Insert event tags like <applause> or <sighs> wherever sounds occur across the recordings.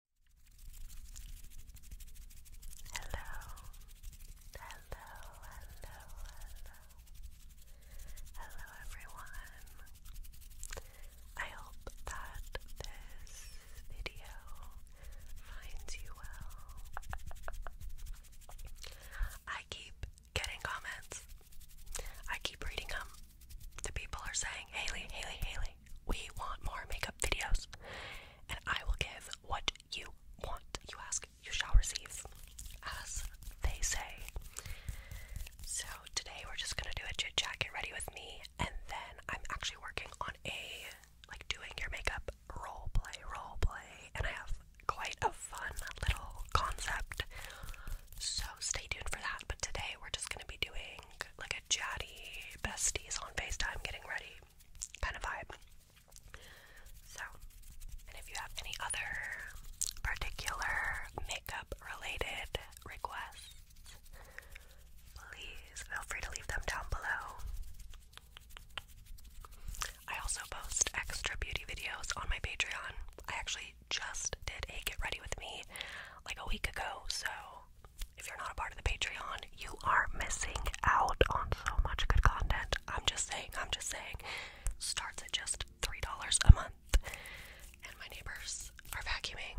Hello, hello, hello, hello, hello everyone. I hope that this video finds you well. I keep getting comments. I keep reading them. The people are saying, Haley, Haley, Haley, we want more makeup videos, and I will give what you want. You ask, you shall receive, as they say. So, today we're just gonna do a jit chat, get ready with me, and then I'm actually working on a like doing your makeup role play, role play, and I have quite a fun little concept. So, stay tuned for that. But today we're just gonna be doing like a chatty besties on FaceTime getting ready kind of vibe. So, if you have any other particular makeup related requests, please feel free to leave them down below. I also post extra beauty videos on my Patreon. I actually just did a get ready with me like a week ago, so if you're not a part of the Patreon, you are missing out on so much good content. I'm just saying, I'm just saying. Starts at just $3 a month. And my neighbors are vacuuming.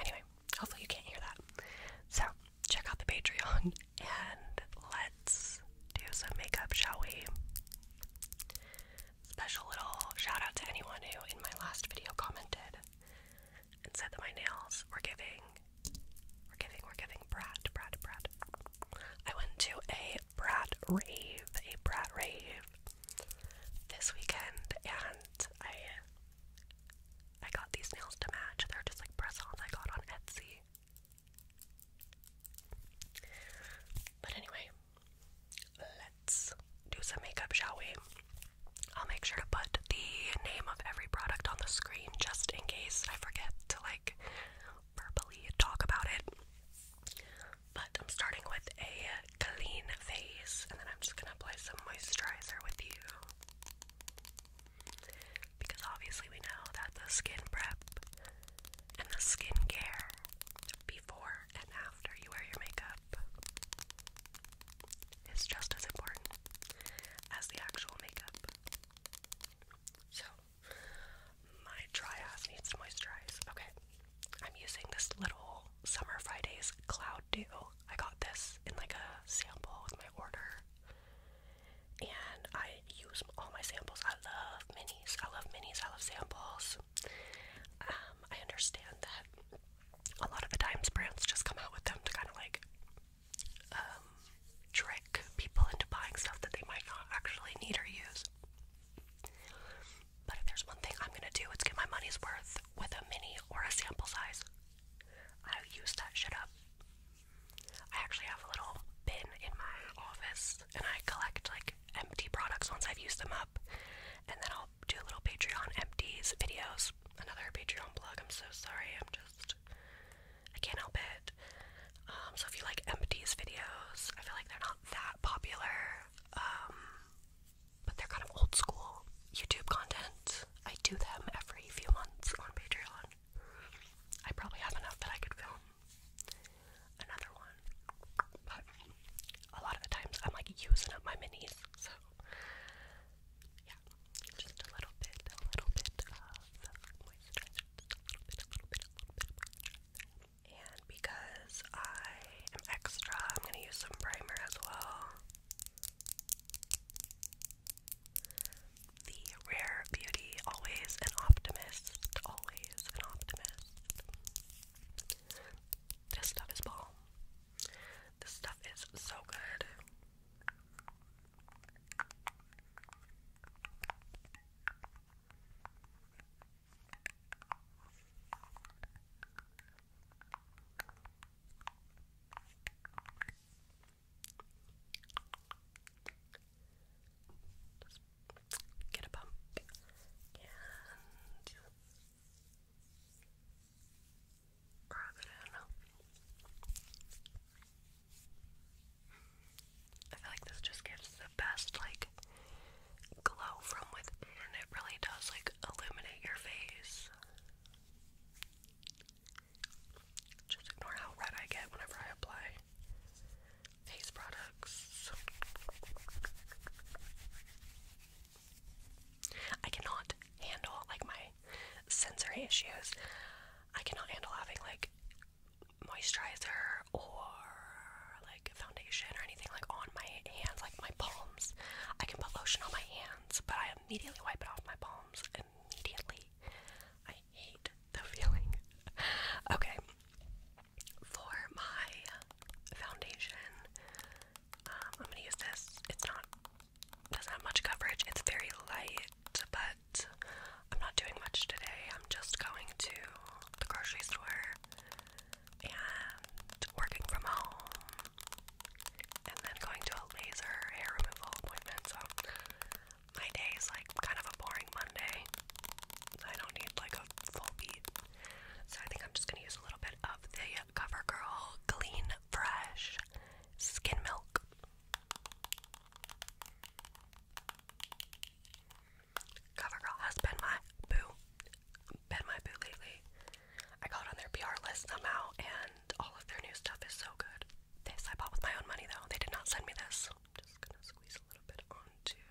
Anyway, hopefully you can't hear that. So, check out the Patreon and let's do some makeup, shall we? Special little shout out to anyone who in my last video commented and said that my nails were giving, we giving, we giving brat, brat, brat. I went to a brat rave, a brat rave this weekend, and I I got these nails to match. They're just like press-ons I got on Etsy. But anyway, let's do some makeup, shall we? I'll make sure to put the name of every product on the screen just in case I forget to like verbally talk about it. But I'm starting with a clean face and then I'm just gonna apply some moisturizer with you. Because obviously, we know that the skin prep and the skincare before and after you wear your makeup is just as important as the actual makeup. So, my dry ass needs moisturize. Okay, I'm using this little Summer Fridays Cloud Dew. I got this in like a sample with my order. And I use all my samples. I love minis. I love minis. I love samples. Um, I understand that a lot of the times brands just come out with them to kind of like um, trick people into buying stuff that they might not actually need or use. But if there's one thing I'm gonna do, it's get my money's worth with a mini or a sample size. I use that shit up. I actually have a little bin in my office and I collect like empty products once I've used them up, and then I'll do little Patreon empties videos. Another Patreon blog. I'm so sorry. I'm just I can't help it. Um, so if you like empties videos, I feel like they're not that popular. Um, but they're kind of old school YouTube content. I do them every few months on Patreon. I probably have enough that I could film another one. But a lot of the times I'm like using up my minis, yeah, just a little bit, a little bit of moisturizer, a little bit, a little bit, a little bit And because I am extra, I'm going to use some primer as well. The Rare Beauty, always an optimist, always an optimist. This stuff is bomb. This stuff is so good. get a pump and Rub I feel like this just gives the best like glow from within. It really does like illuminate your face. Just ignore how red I get whenever I apply face products. I cannot handle like my sensory issues. I cannot handle having like moisturizer or like foundation or anything like on my hands, like my palms. I can put lotion on my hands, but I immediately wipe it off my palms. Immediately. I hate the feeling. <laughs> okay. For my foundation, I'm gonna use this. It's not doesn't have much coverage. It's very light, but I'm not doing much today. I'm just going to the grocery store and working from home, and then going to a laser hair removal appointment. So my day is like kind of a boring Monday. I don't need like a full beat. So I think I'm just gonna use a little bit of the CoverGirl Clean Fresh Skin Milk. CoverGirl has been my boo, been my boo lately. I got on their PR list somehow, and all of their new stuff is so good. This I bought with my own money though. They did not send me this. just gonna squeeze a little bit onto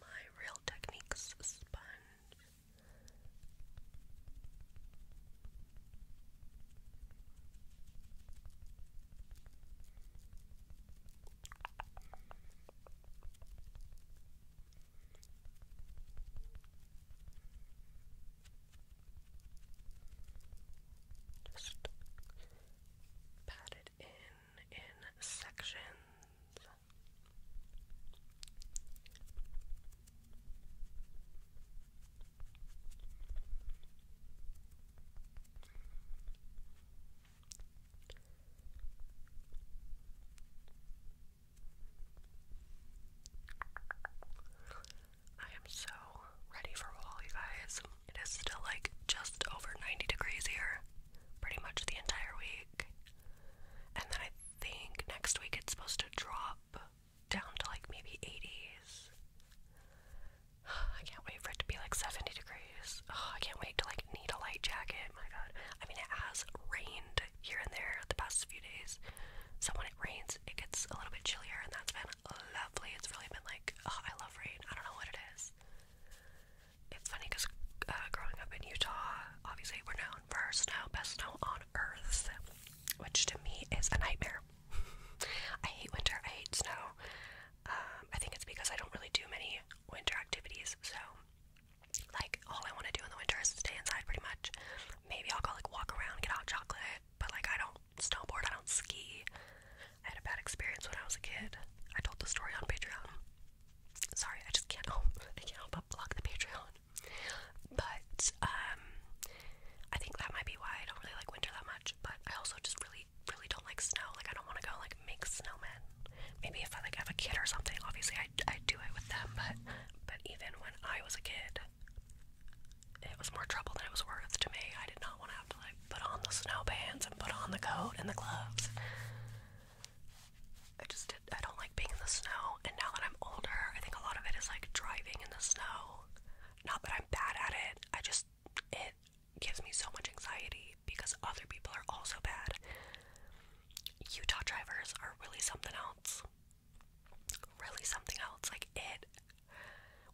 my Real Techniques sponge. Just pat it in in sections. I am so ready for fall, you guys. It is still like just over 90 degrees here, pretty much the entire week. And then I think next week it's supposed to drop down to like maybe 80s. <sighs> I can't wait for it to be like 70 degrees. I can't wait to like need a light jacket. My god. I mean, it has rained here and there the past few days. So when it rains, it gets a little bit chillier, and that's been lovely. It's really been like, oh, I love rain. I don't know what it is. It's funny because uh, growing up in Utah, obviously we're no known snow, best snow on earth, which to me is a nightmare. <laughs> I hate winter, I hate snow. Um, I think it's because I don't really do many winter activities, so like all I want to do in the winter is stay inside pretty much. Maybe I'll go like walk around, get hot chocolate, but like I don't snowboard, I don't ski. I had a bad experience when I was a kid. I told the story on Patreon. Sorry, I just can't help I can't help but block the Patreon on. But um, I think that might be why I don't really like winter that much. But I also just really, really don't like snow. Like I don't want to go like make snowmen. Maybe if I like have a kid or something, obviously I I do it with them. But but even when I was a kid, it was more trouble than it was worth to me. I did not want to have to like put on the snow pants and put on the coat and the gloves. I just did, I don't like being in the snow, and now that I'm older, I think a lot of it is like driving in the snow. Not that I'm bad at it, I just, it gives me so much anxiety because other people are also bad. Utah drivers are really something else. Really something else. Like, it,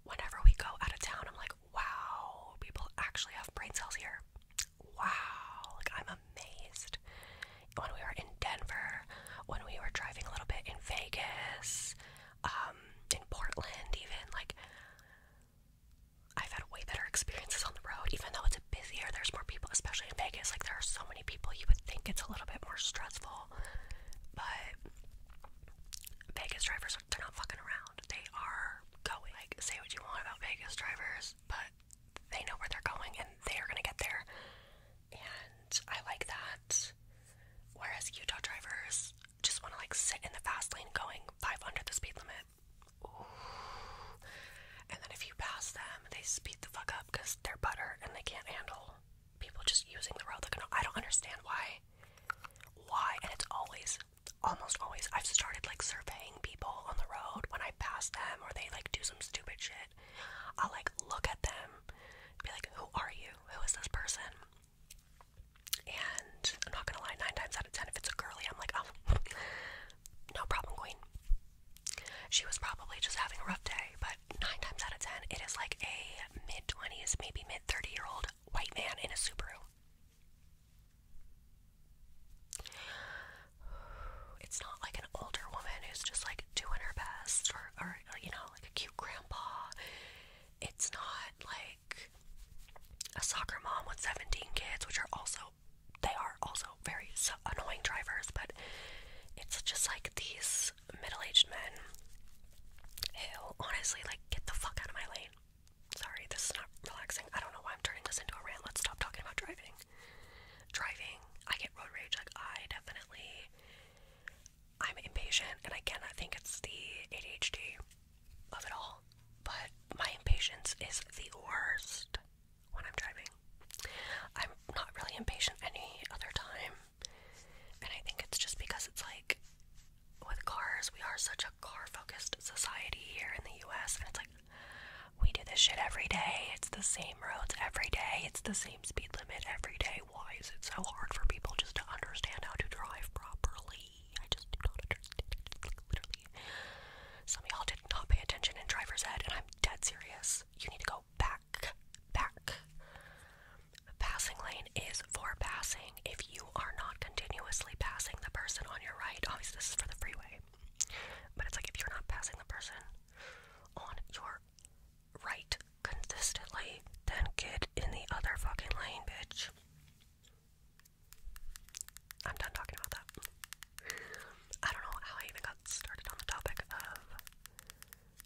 whenever we go out of town, I'm like, wow, people actually have brain cells here. Wow, like, I'm amazed when we were in Denver, when we were driving a little bit in Vegas, um, in Portland, even like I've had way better experiences on the road, even though it's busier. There's more people, especially in Vegas. Like there are so many people, you would think it's a little bit more stressful, but Vegas drivers—they're not fucking around. They are going. Like say what you want about Vegas drivers, but they know where they're going and they are going to get there. And I like that. Whereas Utah drivers just want to like sit in the fast lane going 500 the speed limit. And then if you pass them, they speed the fuck up because they're butter and they can't handle people just using the road. I don't understand why. Why? And it's always, almost always, I've started like surveying people on the road when I pass them or they like do some stupid shit. I'll like look at them, be like, who are you? Who is this person? And I'm not gonna lie, nine times out of ten, if it's a girly, I'm like, oh, <laughs> no problem, queen. She was probably just having a rough day, but nine times out of ten, it is like a mid 20s, maybe mid 30 year old white man in a Subaru. It's not like an older woman who's just like doing her best or, you know, like a cute grandpa. It's not like a soccer mom with 17 kids, which are also, they are also very annoying drivers, but it's just like these middle aged men who honestly, like, get the fuck out of my lane. Sorry, this is not relaxing. I don't know why I'm turning this into a rant. Let's stop talking about driving driving, I get road rage. Like, I definitely, I'm impatient, and again, I think it's the ADHD of it all. But my impatience is the worst when I'm driving. I'm not really impatient any other time, and I think it's just because it's like with cars, we are such a car focused society here in the US, and it's like we do this shit every day. It's the same roads every day. It's the same speed limit every day. Why is it so hard for people just to understand how to drive properly? I just do not understand. literally, some of y'all did not pay attention in driver's ed, and I'm dead serious. You need to go back, back. Passing lane is for passing. If you are not continuously passing the person on your right, obviously this is for the freeway, but it's like if you're not passing the person on your right consistently, then get in the other fucking lane, bitch. I'm done talking about that. I don't know how I even got started on the topic of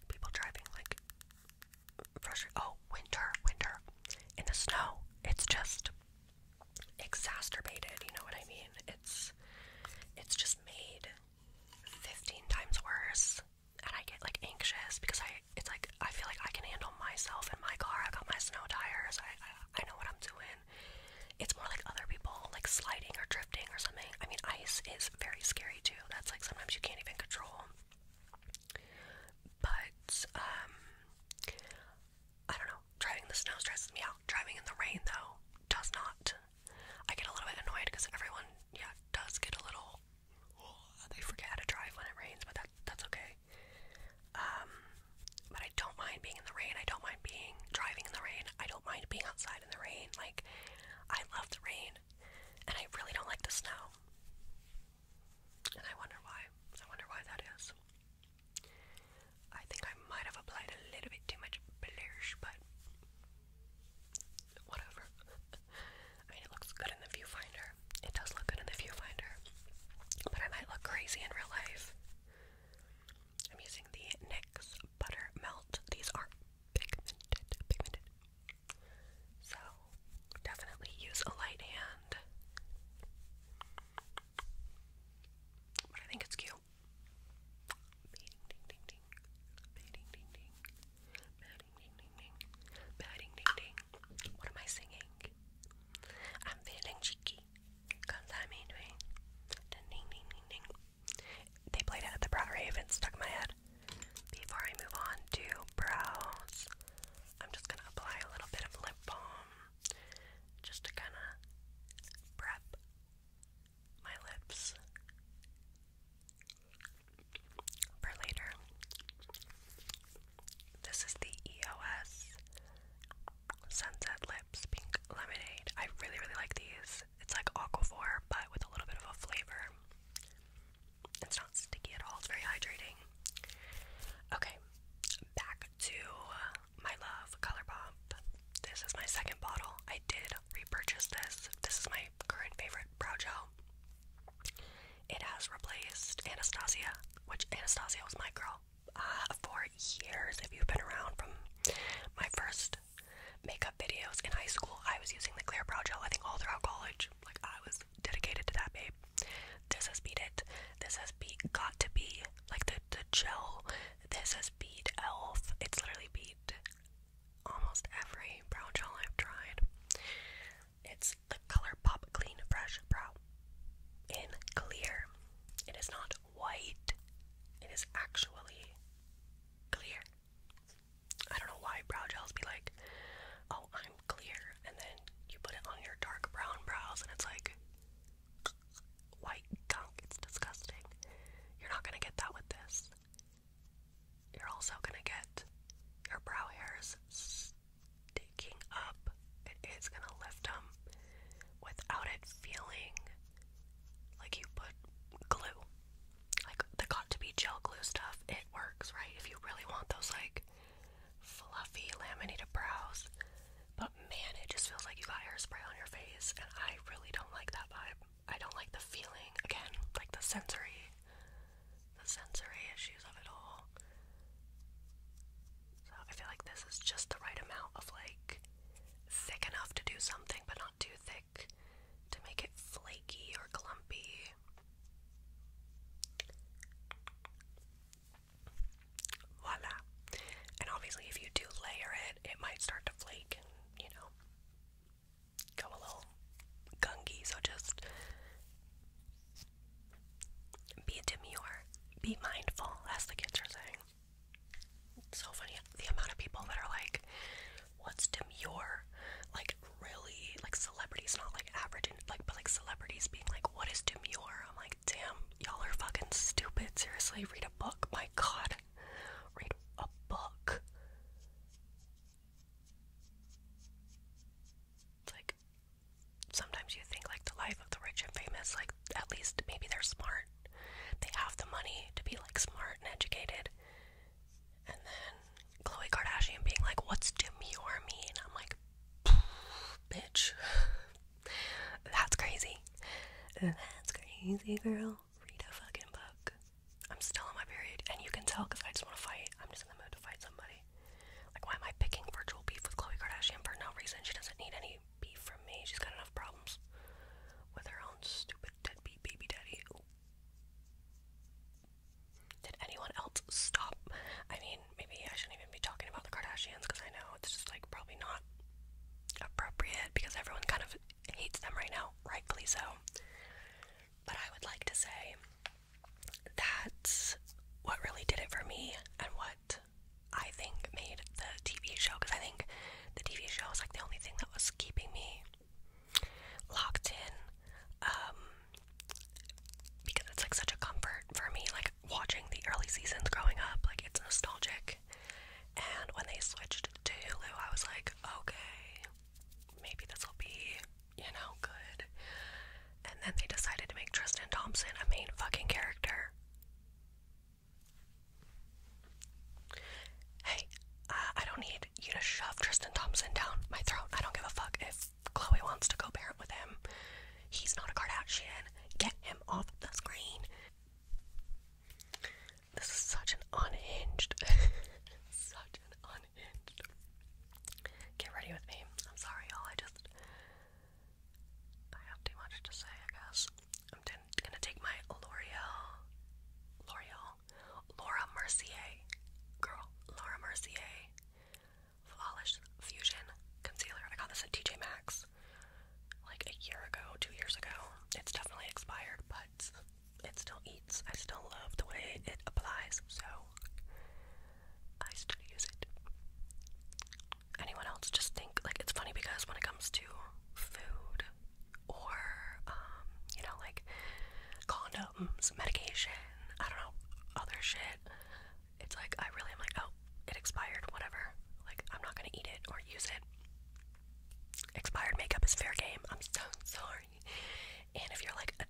people driving like frustrated. Oh, winter, winter. In the snow, it's just exacerbated, you know what I mean? It's it's just made 15 times worse and I get like anxious because I it's like I feel like I can handle myself in my car. I got my snow tires. I, I know what I'm doing. It's more like other people like sliding or drifting or something. I mean, ice is very scary too. That's like sometimes you can't even control. But um I don't know. Driving the snow stresses me out. Driving in the rain though does not. I get a little bit annoyed because everyone, yeah, does get a little. they forget how to drive when it rains, but that's okay. Um, but I don't mind being in the rain. I don't mind being driving in the rain. I don't mind being outside in the rain. Like, I love the rain, and I really don't like the snow. And I wonder why. I wonder why that is. I think I might have applied a little bit too much blush, but whatever. <laughs> I mean, it looks good in the viewfinder. It does look good in the viewfinder. But I might look crazy in real life. I'm using the NYX Butter Melt. These are pigmented, pigmented. So, definitely use a light hand. But I think it's cute. What am I singing? I'm feeling cheeky. i I'm doing ding ding ding ding ding. They played it the Brow and stuck my head. Before I move on to brows, I'm just gonna apply a little bit of lip balm just to kinda prep my lips later. This is the EOS Sunset Lips Pink Lemonade. I really, really like these. It's like aqua Aquaphor, but with a little bit of a flavor. It's not sticky at all, it's very hydrating. Okay, back to my love, ColourPop. This is my second bottle. I did repurchased this. This is my current favorite brow gel. It has replaced Anastasia, which Anastasia was my girl uh, for years. If you've been around from my first makeup videos in high school, I was using the clear brow gel, I think all throughout college. Like, I was dedicated to that, babe. This has beat it. This has beat Got to Be, like the, the gel. This has beat Elf. It's literally beat almost every brow gel I've tried. It's the ColourPop Clean Fresh Brow in clear. It is not white, it is actually clear. I don't know why brow gels be like, oh, I'm clear, and then you put it on your dark brown brows, and it's like white gunk. It's disgusting. You're not gonna get that with this. You're also gonna get your brow hairs sticking up. It is gonna lift them without it feeling like you put glue. Like the got to be gel glue stuff, it works, right? If you really want those like fluffy laminated brows. But man, it just feels like you got hairspray on your face, and I really don't like that vibe. I don't like the feeling again, like the sensory, the sensory issues of it all. So I feel like this is just the right amount of like thick enough to do something, but not too thick to make it flaky or clumpy. Voila. And obviously, if you do layer it, it might start to flake and, you know, go a little gungy, so just be demure, be mindful, as the kids are saying. so funny the amount of people that are like, what's demure? Like really like celebrities, not like average like but like celebrities being like, what is demure? I'm like, damn, y'all are fucking stupid. Seriously, read a book. My god. Read a book like sometimes you think like the life of the rich and famous, like at least maybe they're smart. They have the money to be like smart and educated. And then Khloe Kardashian being like, What's you me?" And I'm like, bitch. <laughs> That's crazy. That's crazy, girl read a fucking book. I'm still on my period, and you can tell because I just want to fight. I'm just in the mood to fight somebody. Like, why am I picking virtual beef with Khloe Kardashian for no reason? She doesn't need any beef from me. She's got enough problems with her own stupid deadbeat baby daddy. Did anyone else stop? I mean, maybe I shouldn't even be talking about the Kardashians because I know it's just like probably not appropriate because everyone kind of of hates them right now, rightfully so. But I would like to say that's what really did it for me and what I think made the TV show because I think the TV show was like the only thing that was keeping me locked in um, because it's like such a comfort for me, like watching the early seasons growing up, like it's nostalgic. And when they switched to Hulu, I was like, okay, maybe this will be, you know, good. And then they decided to make Tristan Thompson a main fucking character. Hey, uh, I don't need you to shove Tristan Thompson down my throat. I don't give a fuck if Chloe wants to co parent with him. He's not a Kardashian. Get him off the screen. This is such an unhinged, <laughs> such an unhinged. Get ready with me. I'm sorry, y'all. I just, I have too much to say. I guess I'm gonna take my L'Oreal, L'Oreal, Laura Mercier, girl, Laura Mercier, Flawless Fusion Concealer. I got this at TJ Maxx like a year ago, two years ago. It's definitely expired, but it still eats. I still love the way it applies, so I still use it. Anyone else just think like it's funny because when it comes to food or um, you know, like condoms, medication, I don't know, other shit, it's like I really am like, oh, it expired, whatever. Like I'm not gonna eat it or use it. Expired makeup is fair game. I'm so sorry. And if you're like a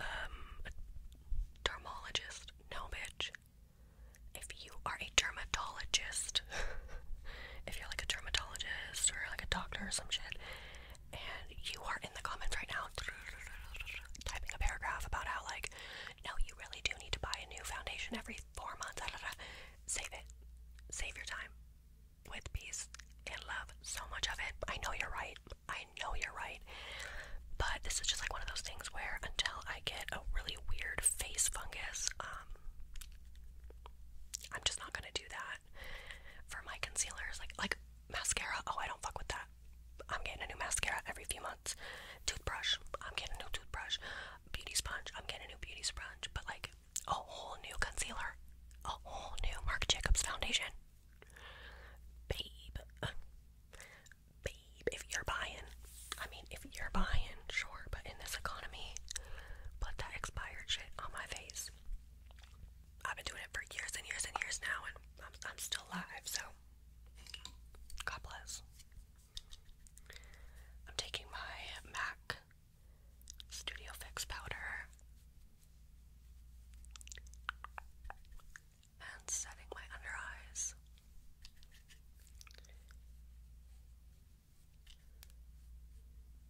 um, dermatologist, no bitch. If you are a dermatologist, <laughs> if you're like a dermatologist or like a doctor or some shit, and you are in the comments right now <laughs> typing a paragraph about how like no you really do need to buy a new foundation every four months, <laughs> save it. Save your time with peace and love. So much of it. I know you're right. I know you're right. But this is just like one of those things where until I get a really weird face fungus, um, I'm just not gonna do that for my concealers. Like like mascara. Oh, I don't fuck with that. I'm getting a new mascara every few months. Toothbrush. I'm getting a new toothbrush. Beauty sponge. I'm getting a new beauty sponge. But like a whole new concealer, a whole new Marc Jacobs foundation. Babe, babe, if you're buying, I mean, if you're buying, sure, but in this economy, put that expired shit on my face. I've been doing it for years and years and years now, and I'm still alive, so God bless. I'm taking my MAC Studio Fix powder. And setting my under eyes.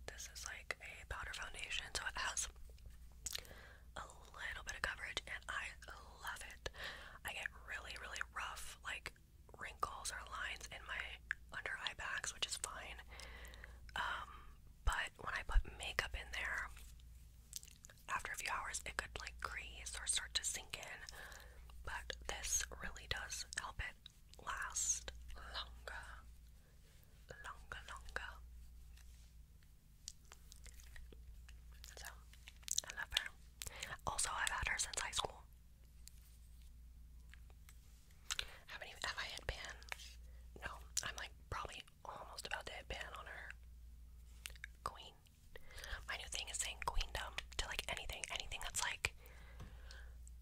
This is like a powder foundation, so it has a little bit of coverage, and I love it. I get really, really rough, like wrinkles or lines in my under eye bags, which is fine. Um, but when I put makeup in there, after a few hours, it could like crease or start to sink in. But this really does help it last longer, longer, longer. So I love her. Also, I've had her since high school have I had pan? No, I'm like probably almost about to hit pan on her. Queen. My new thing is saying queendom to like anything, anything that's like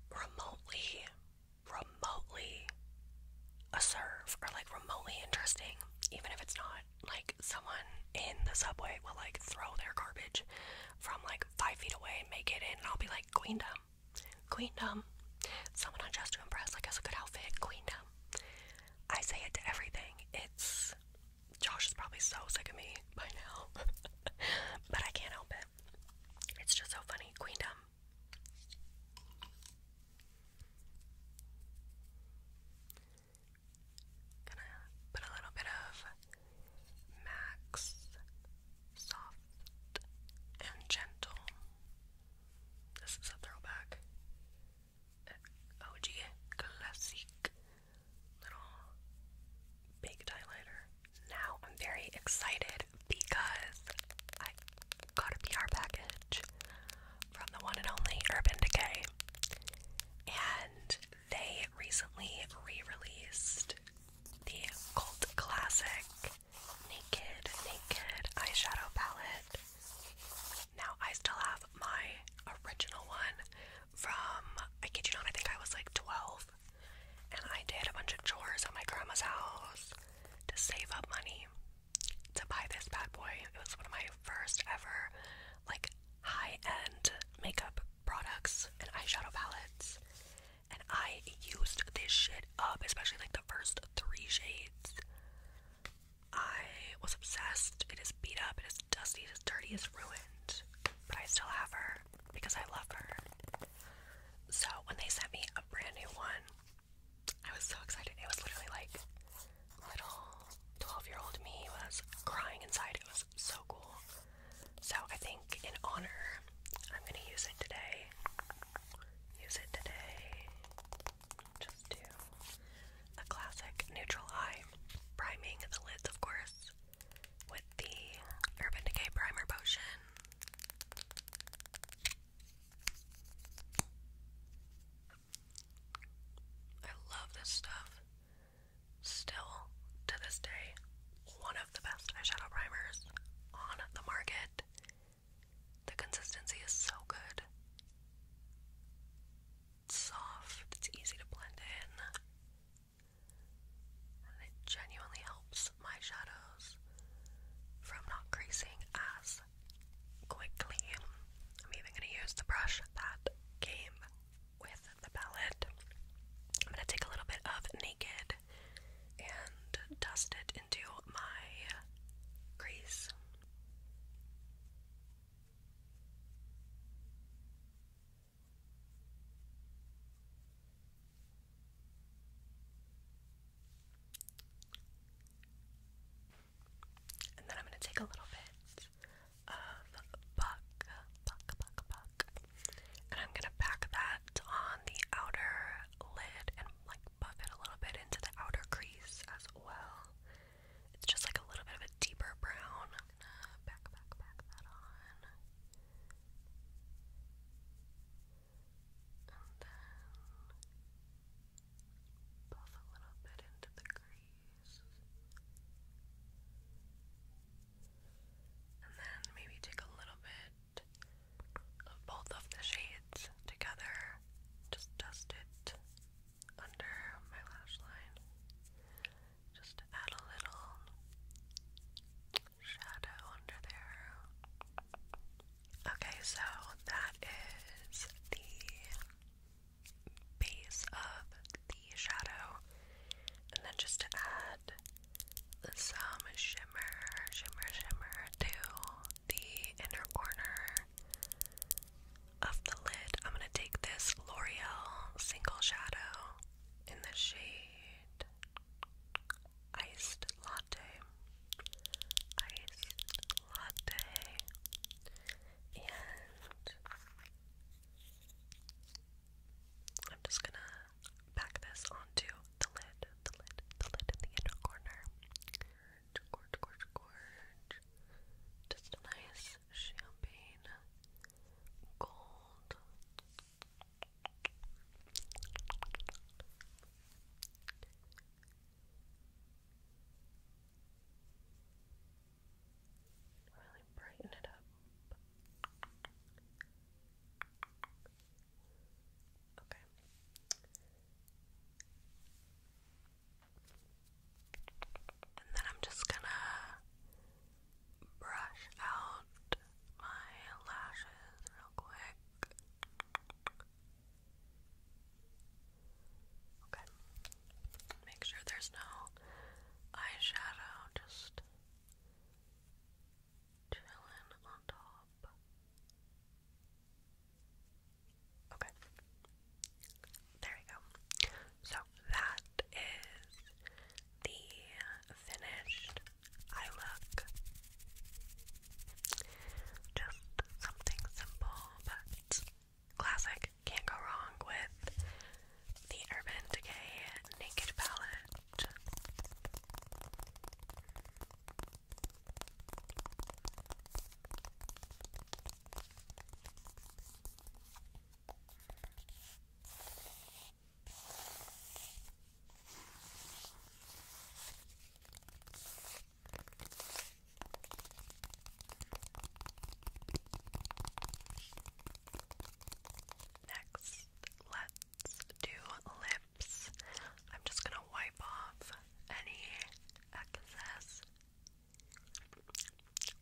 remotely, remotely a serve or like remotely interesting, even if it's not like someone in the subway will like throw their garbage from like five feet away and make it in, I'll be like, Queendom, Queendom. Someone on Just to Impress, like, has a good outfit. Queendom. I say it to everything. It's. Josh is probably so sick of me by now. <laughs> but I can't help it. It's just so funny. Queendom. Gonna put a little bit of Max soft and gentle. This is a throwback. OG classic little baked highlighter. Now I'm very excited because I got a PR package from the one and only Urban Decay. And they recently re-released the cult classic Naked Naked eyeshadow palette. Now I still have my original one from I kid you not, I think I was like 12 and I did a bunch of chores at my grandma's house to save up money to buy this bad boy. It was one of my first ever like high-end makeup products and eyeshadow palettes and I used this shit up, especially like the first three shades. I was obsessed. It is beat up, it is dusty, it is dirty, it is ruined. But I still have her because I love her. So when they sent me a brand new one, I was so excited. It was literally like little 12 year old me was crying inside. It was so cool. So I think in honor, I'm gonna use it today. Use it today. Just do a classic neutral eye. Priming the lids, of course, with the Urban Decay Primer Potion. I love this stuff. Still, to this day, one of the best eyeshadow primers on the market. The consistency is so good. It's soft, it's easy to blend in, it genuinely helps my shadows from not creasing as quickly. I'm even going to use the brush that came with the palette. I'm going to take a little bit of Naked and dust it into my grease. And then I'm going to take a little bit of buck, buck, buck, buck, and I'm going to pack that on the outer lid and like buff it a little bit into the outer crease as well. It's just like a little bit of a deeper brown. I'm gonna back, back, back that on. And then buff a little bit into the crease. And then maybe take a little bit of both of the shades together. Just dust it under my lash line. Just add a little shadow under there. Okay, so that is the base of the shadow. And then just to add some shimmer, shimmer, shimmer to the inner corner of the lid. I'm going to take this L'Oreal Single Shadow in the shade Iced Latte. Iced Latte. And I'm just gonna pack this onto the lid, the lid, the lid in the inner corner. Gorge, gorge, gorge, gorge. Just a nice champagne gold. Really brighten it up. Okay. And then I'm just gonna brush out my lashes real quick. Okay. Make sure there's no eyeshadow, just chilling on top. Okay. There we go. So that is the finished eye look. Just something simple but classic. Can't go wrong with the Urban Decay Naked Palette. Next, let's do lip I'm just gonna wipe off any excess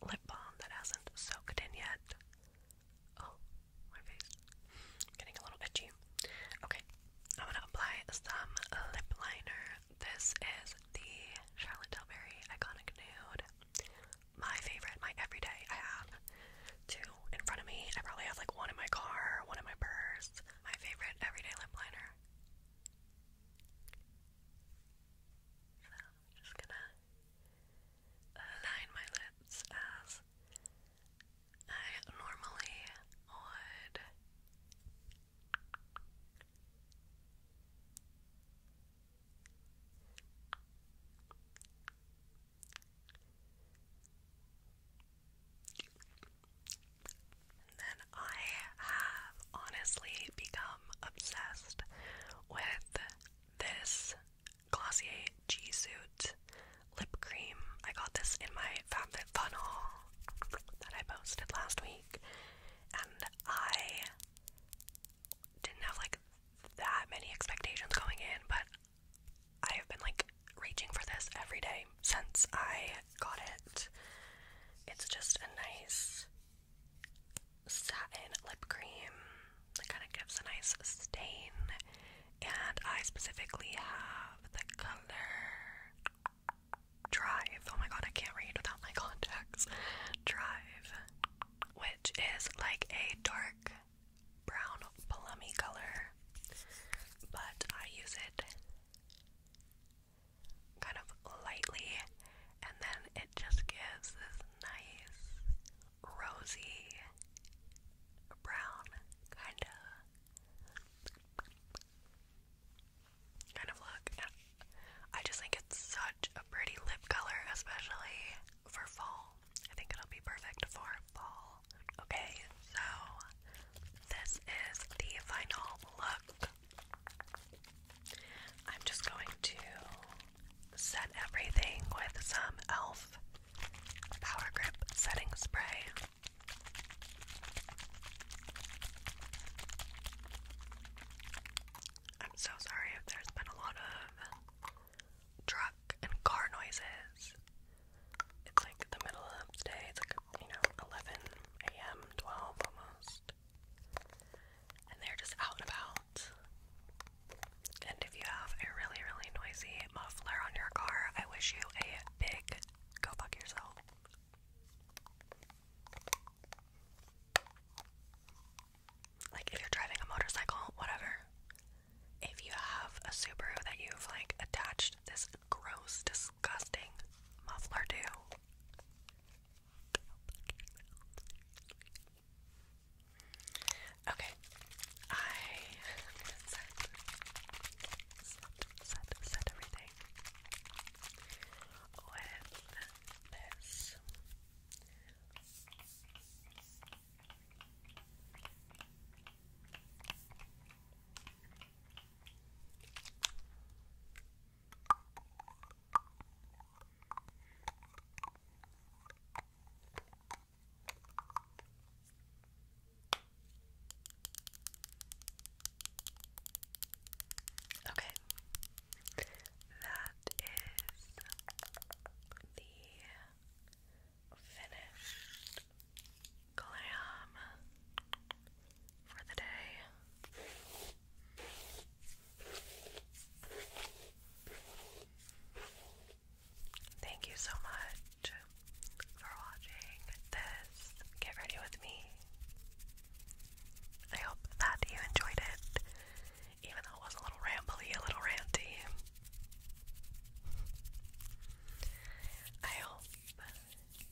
lip balm that hasn't soaked in yet. Oh, my face. getting a little itchy. Okay, I'm gonna apply some lip liner. This is the Charlotte Tilbury Iconic Nude. My favorite, my everyday. I have two in front of me. I probably have like one in my car, one in my purse my favorite everyday lip liner. So I'm just gonna align my lips as I normally would then I have honestly become obsessed with this Glossier G Suit lip cream. I got this in my FabFitFun that I posted last week, and I didn't have like that many expectations going in, but I have been like reaching for this every day since I got it. It's just a nice satin lip cream that kind of gives a nice stain. And I specifically have the color Drive. Oh my god, I can't read without my <laughs> contacts. Drive, which is like a dark brown plummy color, but I use it kind of lightly, and then it just gives this nice rosy brown kind of kind of look. I just think it's such a pretty lip color, especially for fall. I think it'll be perfect for fall. Okay, so this is the final look. I'm just going to set everything with some e.l.f. Power Grip Setting Spray. I'm so sorry if there's been a lot of truck and car noises. It's like the middle of the day. It's like, you know, 11 a.m., 12 almost. And they're just out and about. And if you have a really, really noisy muffler on your car, I wish you a big go fuck yourself. Like, if you're driving a motorcycle, whatever. If you have a Subaru that you've like attached this gross, disgusting muffler do? Okay, I set, set, set everything with this. Okay, that is the finished glam for the day. Thank you so much for watching this Get Ready With Me. I hope that you enjoyed it, even though it was a little rambly, a little ranty. I hope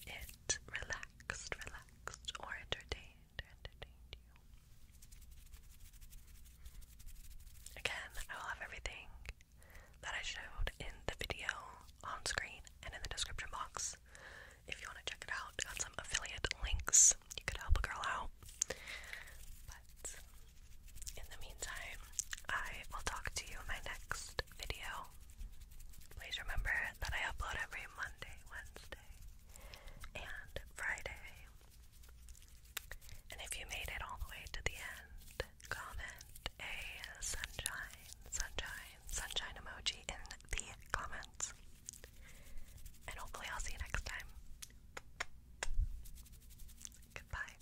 it relaxed, relaxed, or entertained, entertained you. Again, I will have everything that I showed in the video on screen and in the description box. If you want to check it out, got some affiliate links. You could help a girl out. But in the meantime, I will talk to you in my next video. Please remember that I upload every Monday, Wednesday, and Friday. And if you made it all the way to the end, comment a sunshine, sunshine, sunshine emoji in the comments. And hopefully, I'll see you next time. Goodbye.